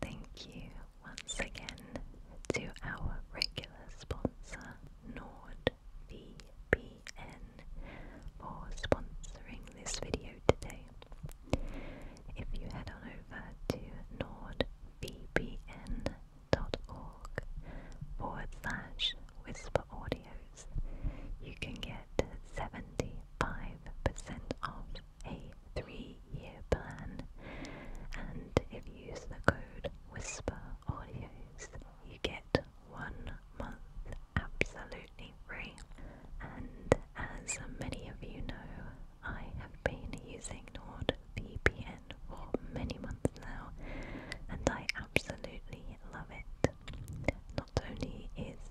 Thank you once again to our regular sponsor, NordVPN, for sponsoring this video today. If you head on over to nordvpn.org forward slash whisper audios, you can get 75% off a three year plan, and if you use the code Whisper Audios, you get one month absolutely free. And as many of you know, I have been using NordVPN for many months now, and I absolutely love it. Not only is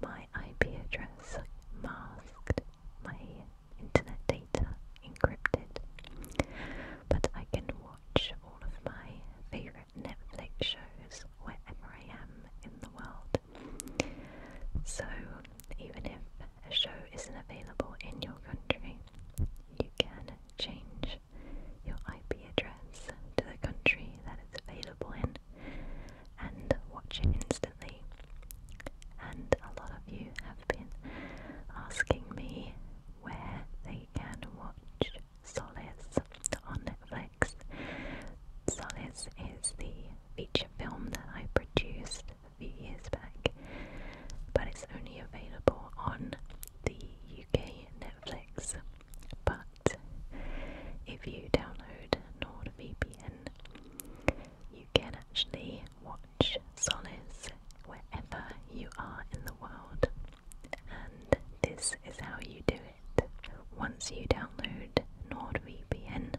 my IP address masked my internet data encrypted, but I can watch all of my favorite Netflix shows wherever I am in the world. So, even if a show isn't available in your country, you can change your IP address to the country that it's available in and watch it instantly. And a lot of you have been asking me where they can watch Solace on Netflix. Solace is the feature film that I produced a few years back, but it's only available on the UK Netflix. But if you download NordVPN, you can actually watch Solace wherever you are in the world, and this is how you do it. Once you download NordVPN,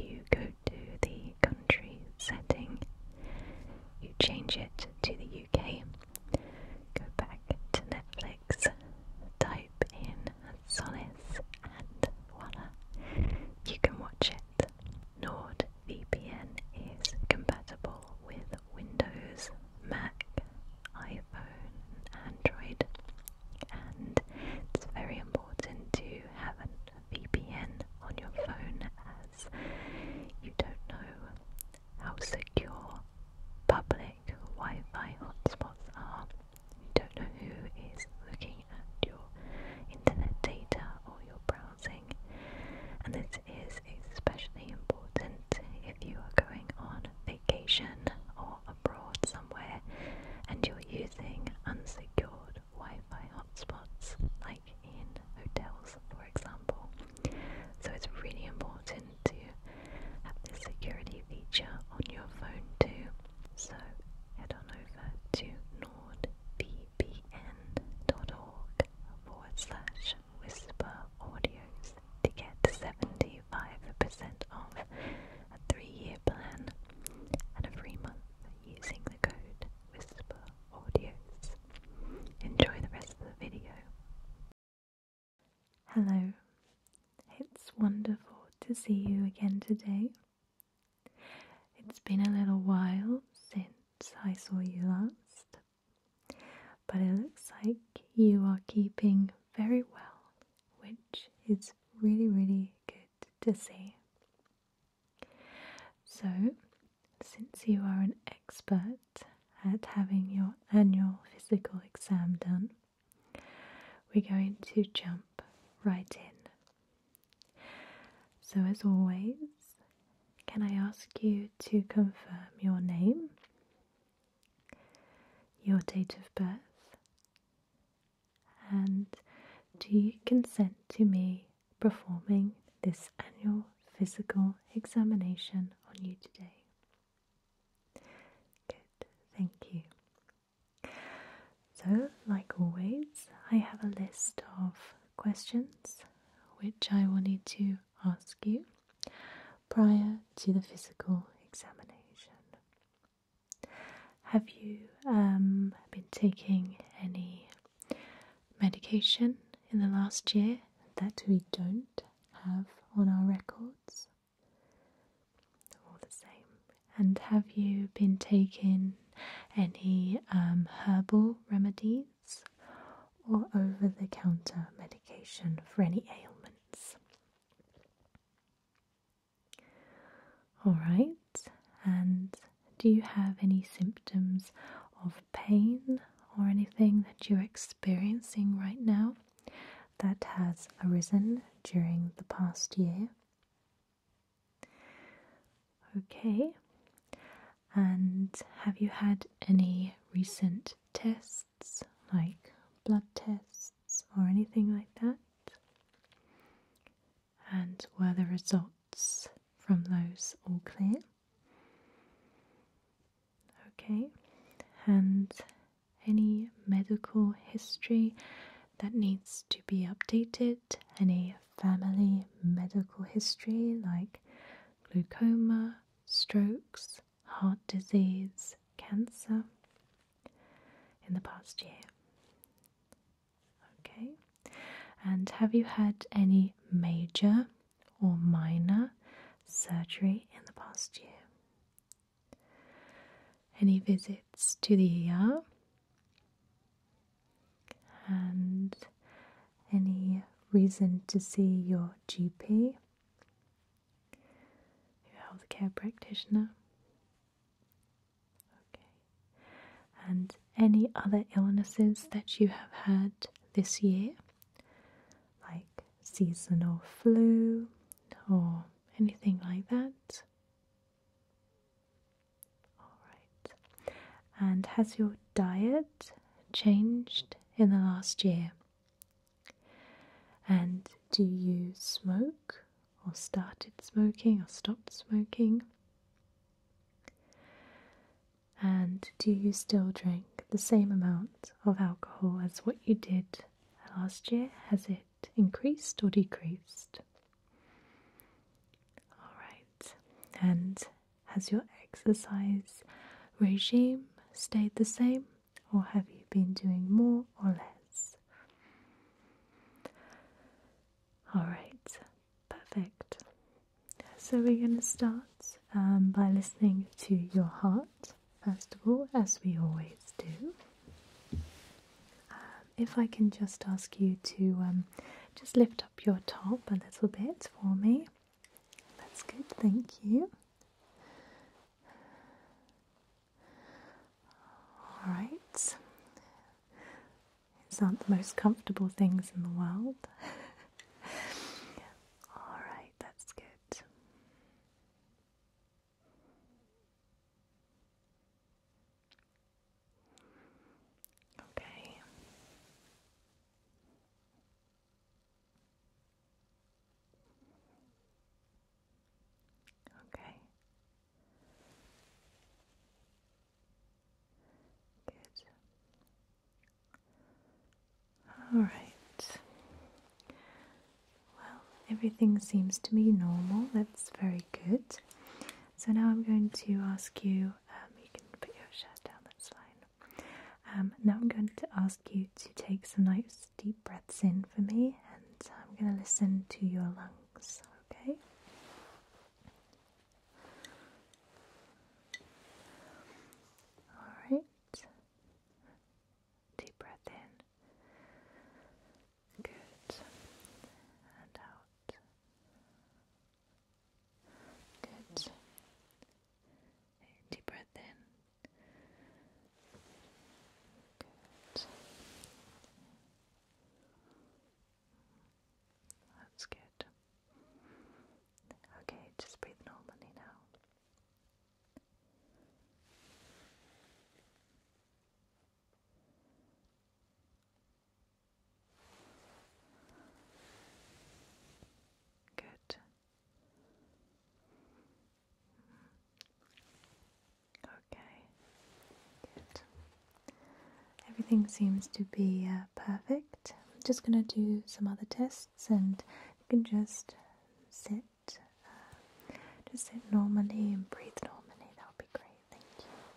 you go to the country setting, you change it to the UK, go back to Netflix, type in Solace, and voila, you can watch it. NordVPN is compatible with Windows, Mac, iPhone, Android, and it's very important to have a VPN on your phone as you don't know how secure public Wi Fi hotspots are. You don't know who is looking at your internet data or your browsing, and this is especially important if you are going on vacation or abroad somewhere and you're using unsecured Wi Fi hotspots, like in hotels, for example. So it's really important to have this security feature on your phone too. So head on over to nordvpn.org forward slash whisper audios to get 75% off a three year plan and a free month using the code whisper audios. Enjoy the rest of the video. Hello, it's wonderful to see you again today. It's been a little while since I saw you last, but it looks like you are keeping very well, which is really, really good to see. So, since you are an expert at having your annual physical exam done, we're going to jump right in so, as always, can I ask you to confirm your name, your date of birth, and do you consent to me performing this annual physical examination on you today? Good, thank you. So, like always, I have a list of questions which I wanted to ask you prior to the physical examination. Have you um, been taking any medication in the last year that we don't have on our records? All the same. And have you been taking any um, herbal remedies or over the counter medication for any ailments? All right, and do you have any symptoms of pain or anything that you're experiencing right now that has arisen during the past year? Okay, and have you had any recent tests like blood tests or anything like that? And were the results from those all clear? Okay, and any medical history, that needs to be updated, any family medical history like glaucoma, strokes, heart disease, cancer in the past year. Okay, and have you had any major or minor surgery in the past year? any visits to the ER and any reason to see your GP, your health care practitioner, okay, and any other illnesses that you have had this year, like seasonal flu or anything like that. Alright. And has your diet changed in the last year? And do you smoke or started smoking or stopped smoking? And do you still drink the same amount of alcohol as what you did last year? Has it increased or decreased? Alright, and has your exercise regime stayed the same, or have you been doing more or less? Alright, perfect. So we're going to start um, by listening to your heart, first of all, as we always do if I can just ask you to um, just lift up your top a little bit for me. That's good, thank you. All right. These aren't the most comfortable things in the world. All right, that's good. Okay. Okay. Good. All right. Well, everything seems to be normal. That's very good. So now I'm going to ask you, um, you can put your shirt down, that's fine. Um, now I'm going to ask you to take some nice deep breaths in for me, and I'm going to listen to your lungs, okay? Alright. Deep breath in. Good. And out. Good. Deep breath in. Good. That's good. Okay, just breathe normally now. Good. Okay. Good. Everything seems to be uh, perfect. I'm just going to do some other tests and you can just sit. Uh, just sit normally and breathe normally. That would be great. Thank you.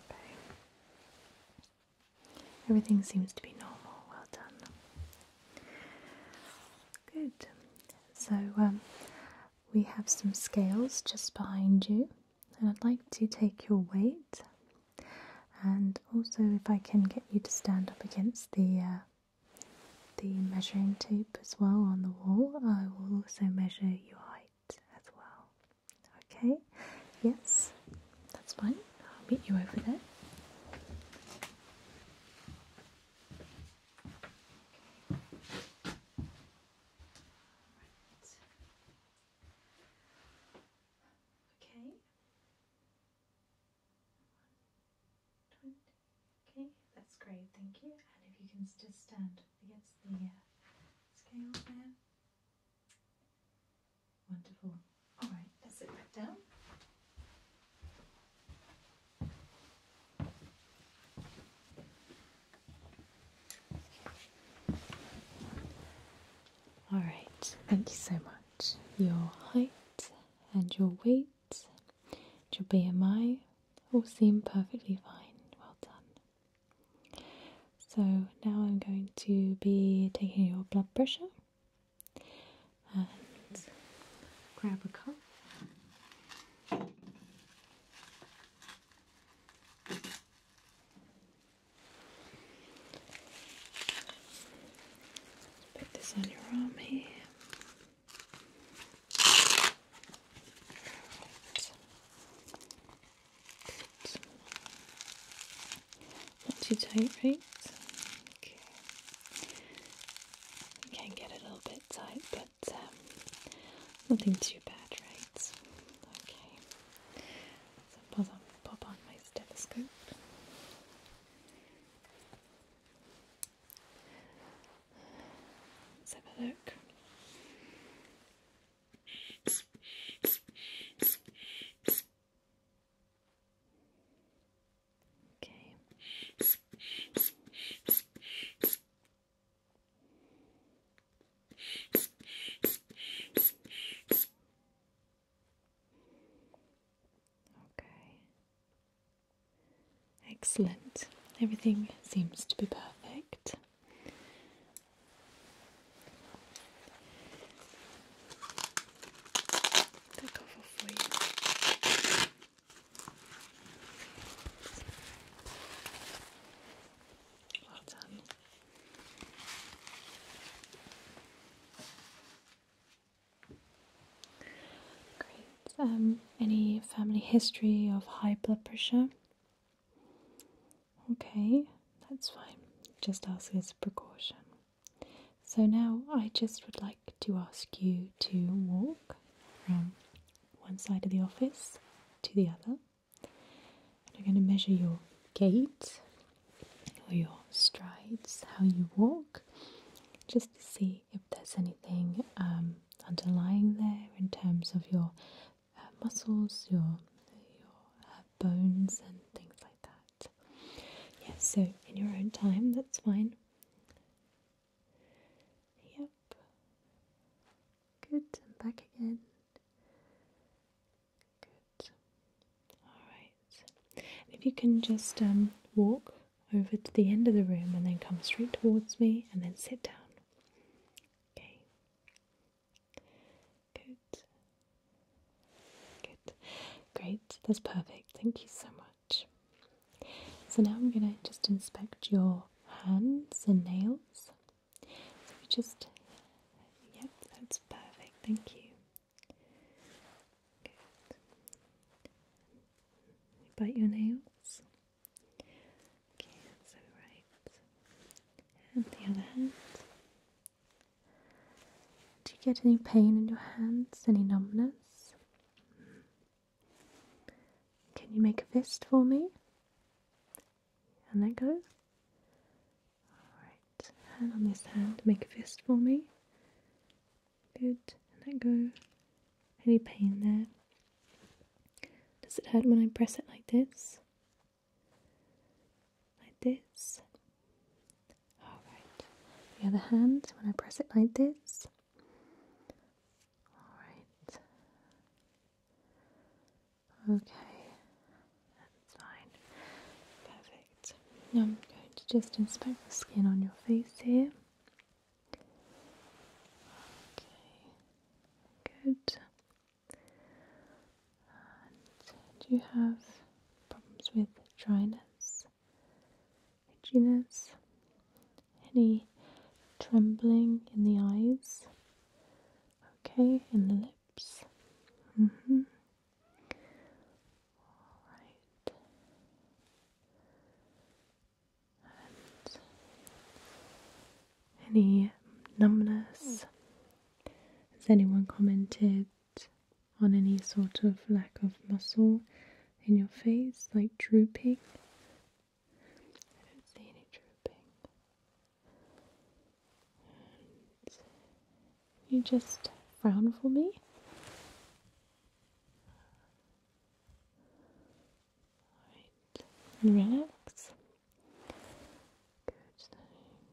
Okay. Everything seems to be normal. Well done. Good. So um, we have some scales just behind you, and I'd like to take your weight. And also, if I can get you to stand up against the uh, the measuring tape as well on the wall, I will also measure your height as well. Okay? Yes, that's fine. I'll meet you over there. Right. Okay. Okay, that's great, thank you. And if you can just stand against the uh, scale there. Wonderful. Alright, let's sit back down. All right, thank you so much. Your height and your weight, your BMI all seem perfectly fine. Well done. So now I'm going to be taking your blood pressure and grab a cup. Put this on your arm here. Not too tight, right? can get a little bit tight, but um, nothing too bad, right? Okay, so pop on, pop on my stethoscope. Let's have a look. Okay. Okay. Excellent. Everything seems to be perfect. Take off for you. Great. Um, any family history of high blood pressure? Okay, that's fine. Just ask as a precaution. So now I just would like to ask you to walk from one side of the office to the other. And I'm going to measure your gait or your strides, how you walk, just to see if there's anything um, underlying there in terms of your uh, muscles, your, your uh, bones, and things like that. Yes, so in your own time, that's fine. Yep. Good. I'm back again. Good. Alright. If you can just um, walk over to the end of the room and then come straight towards me and then sit down. Okay. Good. Good. Great. That's perfect. Thank you so much. So now I'm going to just inspect your hands and nails. So we just, yep, that's perfect, thank you. bite your nails. Okay, that's alright. And the other hand. Do you get any pain in your hands? Any numbness? Can you make a fist for me? And let go. Alright, hand on this hand, make a fist for me. Good, and let go. Any pain there? Does it hurt when I press it like this? Like this? Alright, the other hand, when I press it like this. Alright, Okay, that's fine. Perfect. I'm going to just inspect the skin on your face here. Okay, good. do you have problems with dryness, itchiness? any trembling in the eyes, okay, in the lips. Mm-hmm. All right. any numbness? Has anyone commented on any sort of lack of muscle in your face, like drooping? I don't see any drooping. you just frown for me. Right, relax. Good.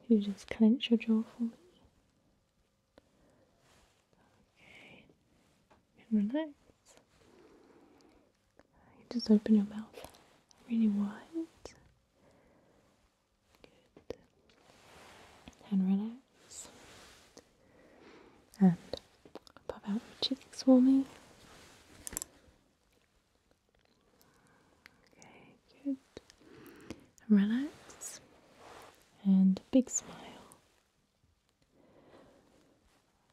You just clench your jaw for me. Okay, relax. You just open your mouth really wide. Good. And relax. And pop out your cheeks for me. Okay, good. relax. And big smile.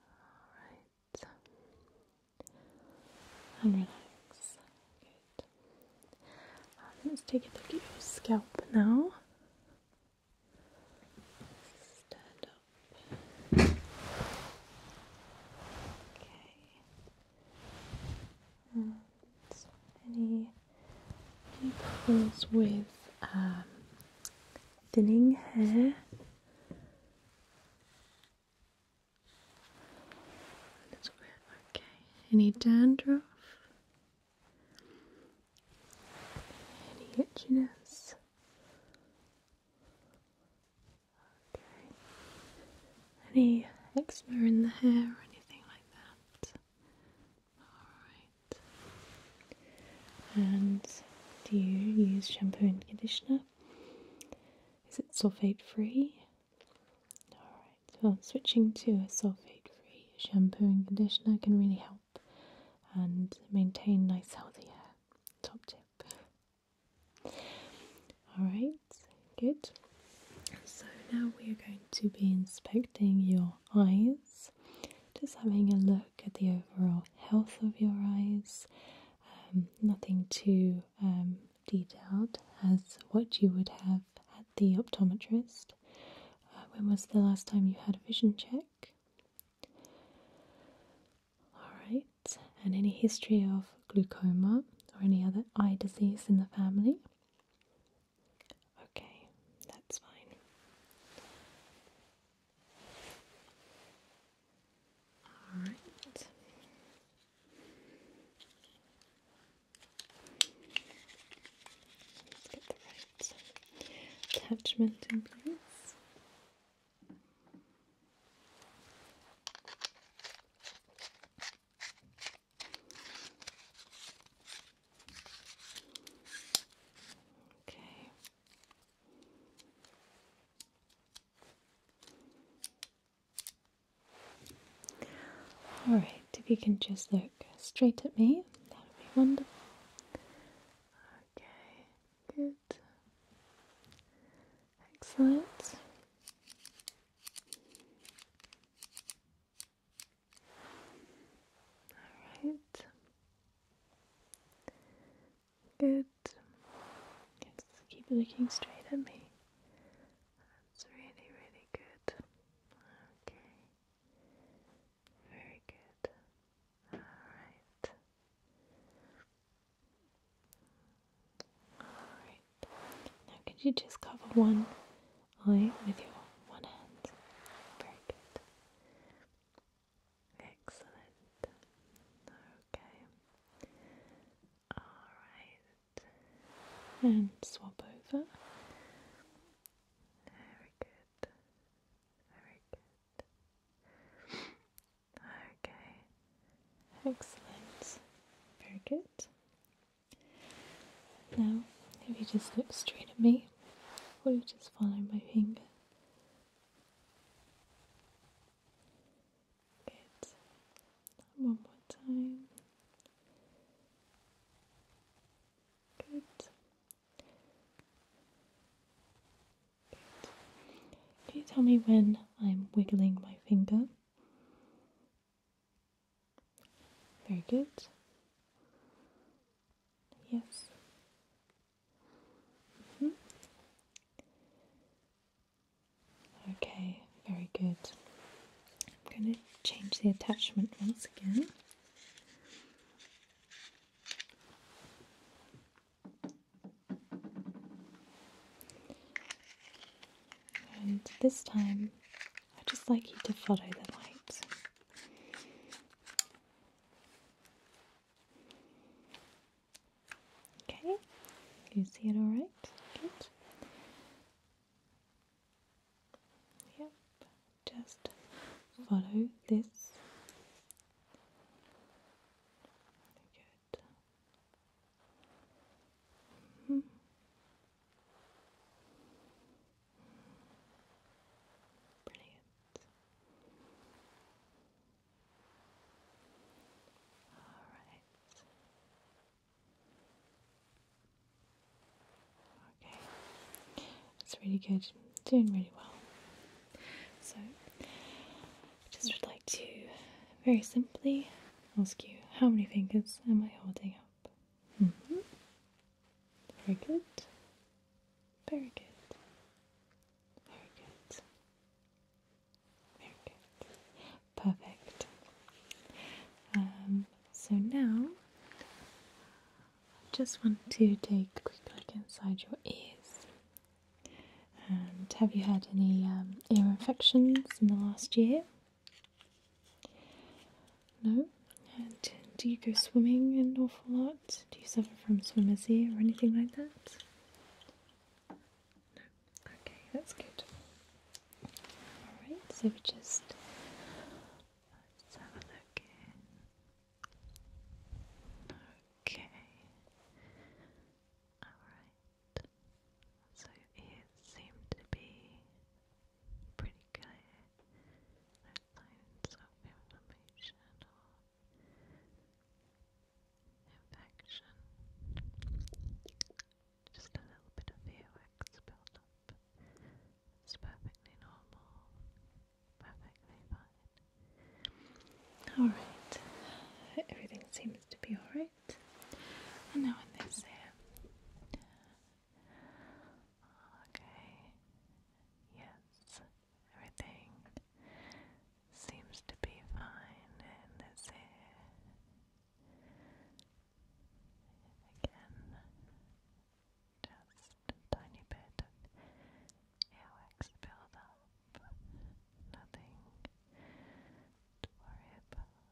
Alright and um, let's take a look at your scalp now. Okay. any any with um, thinning hair? Okay. Any dandruff? Any itchiness? Okay. Any eczema in the hair or anything like that? Alright. And do you use shampoo and conditioner? Is it sulfate free? Alright, so switching to a sulfate free shampoo and conditioner can really help and maintain nice healthy hair. Top tip. Alright, good. So now we are going to be inspecting your eyes, just having a look at the overall health of your eyes um, nothing too um, detailed as what you would have at the optometrist. Uh, when was the last time you had a vision check? Alright, and any history of glaucoma or any other eye disease in the family? Okay, that's fine. All right. Let's get the right attachment in place. Okay. Alright, if you can just look straight at me, that would be wonderful. Okay, good. Excellent. Alright. Good. Just keep looking straight at me. That's really, really good. Okay. Very good. Alright. Alright. Now, could you just cover one eye with your one hand? Very good. Excellent. Okay. Alright, and swap over. Very good, very good. Okay, excellent, very good. Now, if you just look straight at me, will you just follow my finger? Good. One more time. Good. Good. Can you tell me when I'm wiggling my finger? Very good. Yes. Mm-hmm. Okay, very good. I'm going to change the attachment once again. And this time, I'd just like you to follow the light. Okay, you see it all right? Good. Yep, just follow this. Good. Mm-hmm. Brilliant. All right. Okay, that's really good. Doing really well. So, I just would like to very simply ask you how many fingers am I holding up? Mm-hmm. Very good. Very good. Very good. Perfect. Um, so now I just want to take a quick look inside your ears. And um, have you had any um, ear infections in the last year? No? And do you go swimming an awful lot? Do you suffer from swimmer's ear or anything like that? No. Okay, that's good. Alright, so we just let's have a look Okay. Alright. So ears seem to be pretty clear. No signs of inflammation or infection. Just a little bit of earwax built up. It's perfectly normal. Perfectly fine. Alright. Everything seems to be alright. now in this ear. Okay. Yes. Everything seems to be fine in this ear. Again, just tiny bit of airwax buildup, nothing to worry about,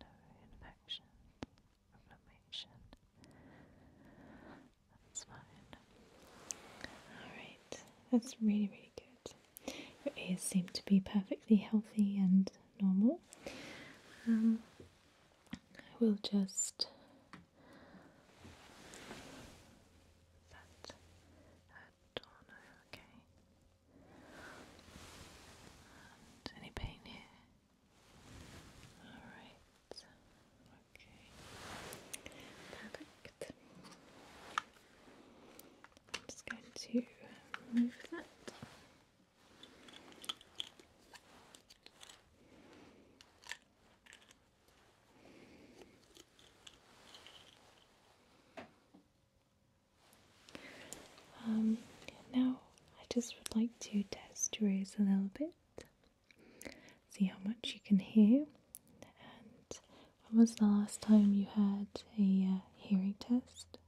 no infection, inflammation, that's fine. Alright, that's really, really good. Your ears seem to be perfectly healthy and normal. I um, will just okay. any pain here? Alright. Okay. Perfect. I'm just going to move that. Um, now I just would like to test your ears a little bit, see how much you can hear, when was the last time you had a uh, hearing test?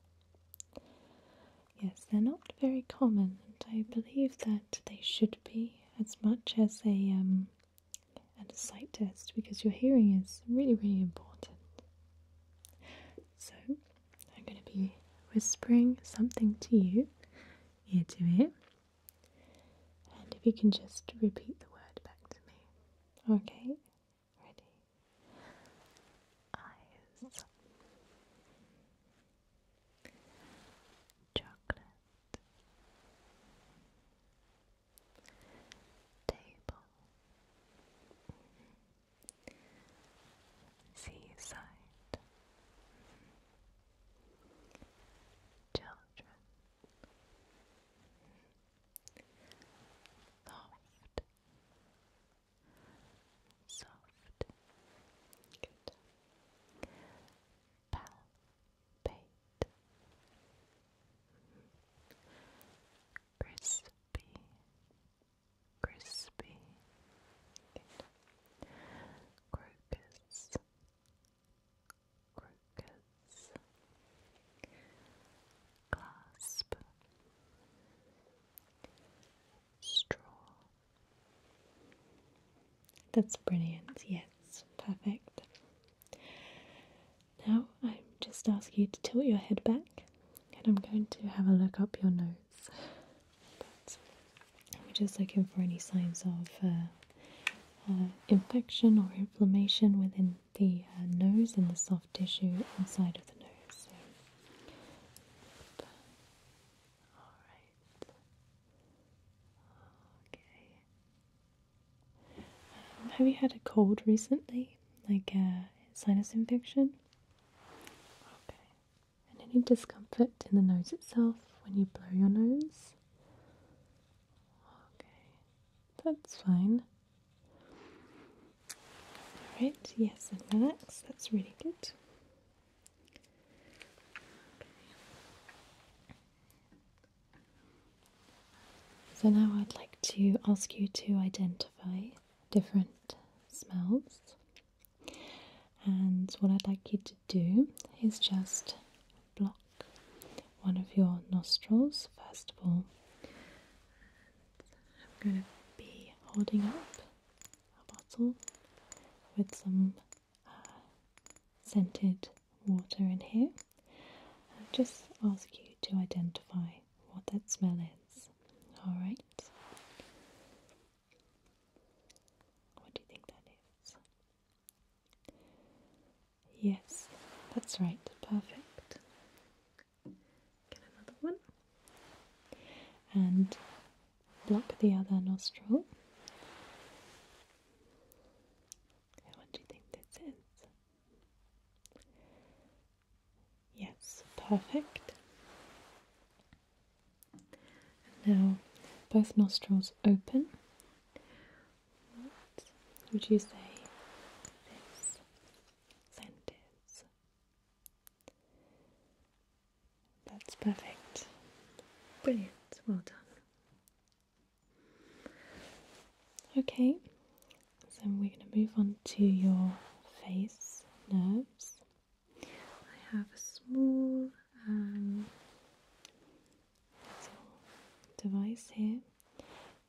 Yes, they're not very common, and I believe that they should be as much as a um, and a sight test because your hearing is really, really important. So I'm going to be whispering something to you, ear to ear, and if you can just repeat the word back to me, okay? Ready? Eyes. Chocolate. Table. Mm-hmm. Seaside. Mm-hmm. Children. Soft. Soft. Good. Palpate. Crispy. Crispy. Crocus. Crocus is straw. That's brilliant, yes, perfect. Now I am just asking you to tilt your head back and I'm going to have a look up your nose. But we're just looking for any signs of uh, uh, infection or inflammation within the uh, nose and the soft tissue inside of the nose. Okay. Um, have you had a cold recently, like a uh, sinus infection? Okay. And any discomfort in the nose itself when you blow your nose? Okay, that's fine. Alright, yes, and relax. That's really good. So now I'd like to ask you to identify different smells. And what I'd like you to do is just block one of your nostrils, first of all, I'm going to be holding up a bottle with some uh, scented water in here. I'll just ask you to identify what that smell is. Alright. What do you think that is? Yes, that's right. Perfect. Get another one. And block the other nostril. What do you think this is? Yes, perfect. And now, both nostrils open. What would you say this sentence. That's perfect. Brilliant. Well done. Okay, so we're going to move on to your face nerves. I have a small um, device here.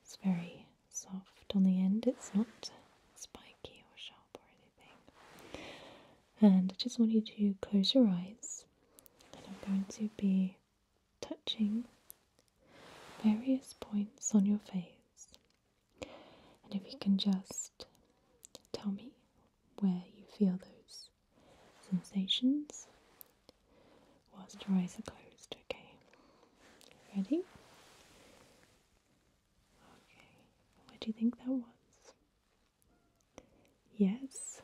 It's very soft on the end, it's not spiky or sharp or anything. And I just want you to close your eyes, and I'm going to be touching various points on your face. And if you can just tell me where you feel those sensations whilst your eyes are closed, okay? Ready? Okay. What do you think that was? Yes.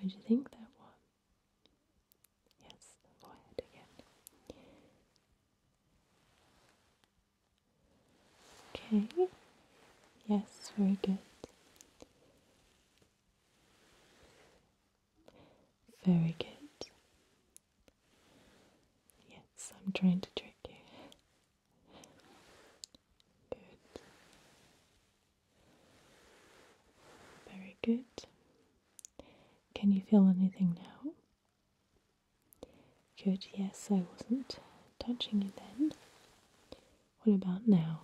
What do you think that was? Yes, the again. Okay. Yes, very good. Very good. Yes, I'm trying to trick you. Good. Very good. Can you feel anything now? Good, yes, I wasn't touching you then. What about now?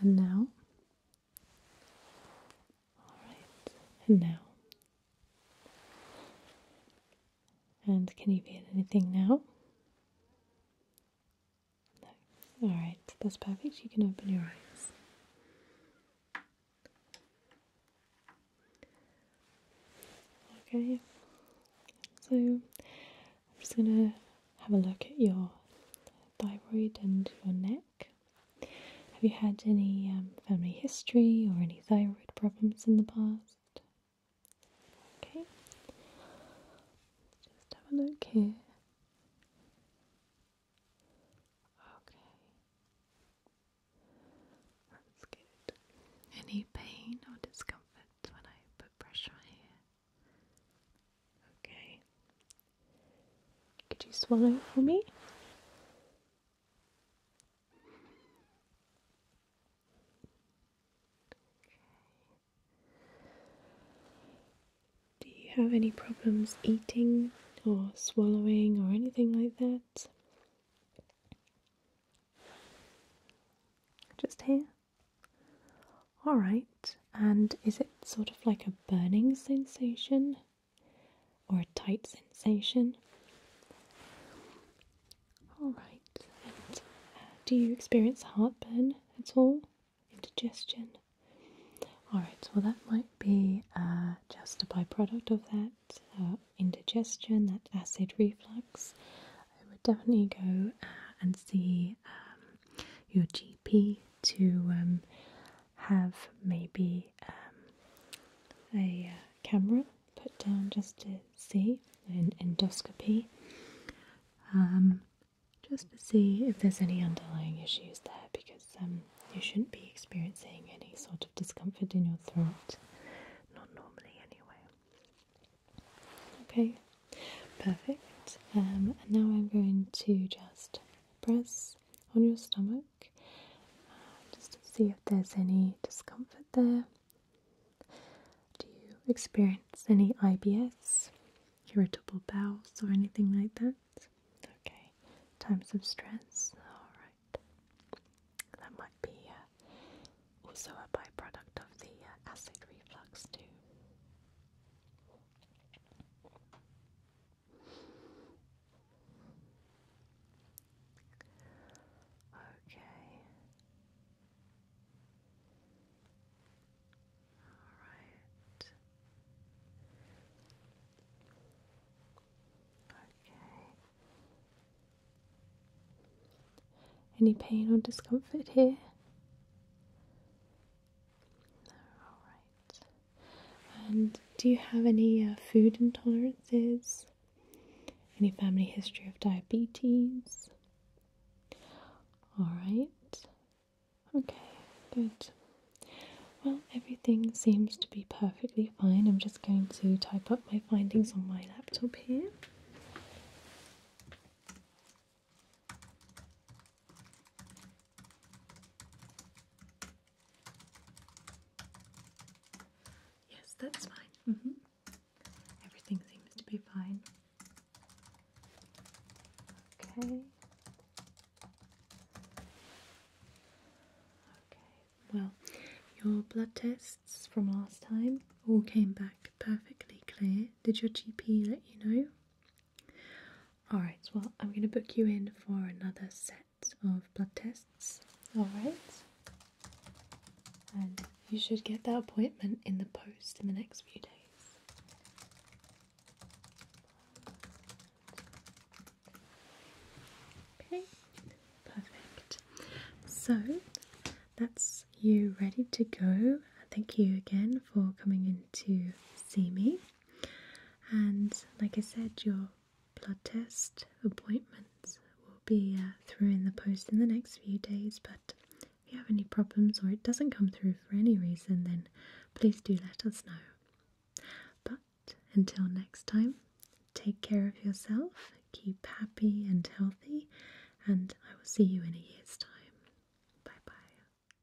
And now, all right, and now, and can you be anything now? No, all right, that's perfect. You can open your eyes. Okay, so I'm just going to have a look at your thyroid and your neck. Have you had any um, family history or any thyroid problems in the past? Okay, just have a look here. Okay, that's good. Any pain or discomfort when I put pressure here? Okay. Could you swallow for me? Okay. Do you have any problems eating or swallowing or anything like that? Just here? All right, and is it sort of like a burning sensation or a tight sensation? All right, and uh, do you experience heartburn at all? Indigestion? All right, well, that might be uh, just a byproduct of that uh, indigestion, that acid reflux. I would definitely go and see um, your GP to um, have maybe um, a uh, camera put down just to see an endoscopy um, just to see if there's any underlying issues there because you shouldn't be experiencing any sort of discomfort in your throat not normally anyway okay perfect and now I'm going to just press on your stomach uh, just to see if there's any discomfort there. Do you experience any IBS, irritable bowels, or anything like that? Okay, times of stress, alright. That might be uh, also a byproduct of the uh, acid reflux, too. Okay. All right. Okay. Any pain or discomfort here? Alright. And do you have any uh, food intolerances? Any family history of diabetes? Alright. Okay, good. Well, everything seems to be perfectly fine. I'm just going to type up my findings on my laptop here. Yes, that's fine. Mm-hmm. Everything seems to be fine. Okay. Okay, well, your blood tests from last time all came back perfectly clear. Did your GP let you know? Alright, well, I'm going to book you in for another set of blood tests. Alright? And you should get that appointment in the post in the next few days. Okay, perfect. So that's you ready to go. Thank you again for coming in to see me. And like I said, your blood test appointments will be uh, through in the post in the next few days. But if you have any problems or it doesn't come through for any reason, then please do let us know. But until next time, take care of yourself, keep happy and healthy, and I will see you in a year's time. Bye bye.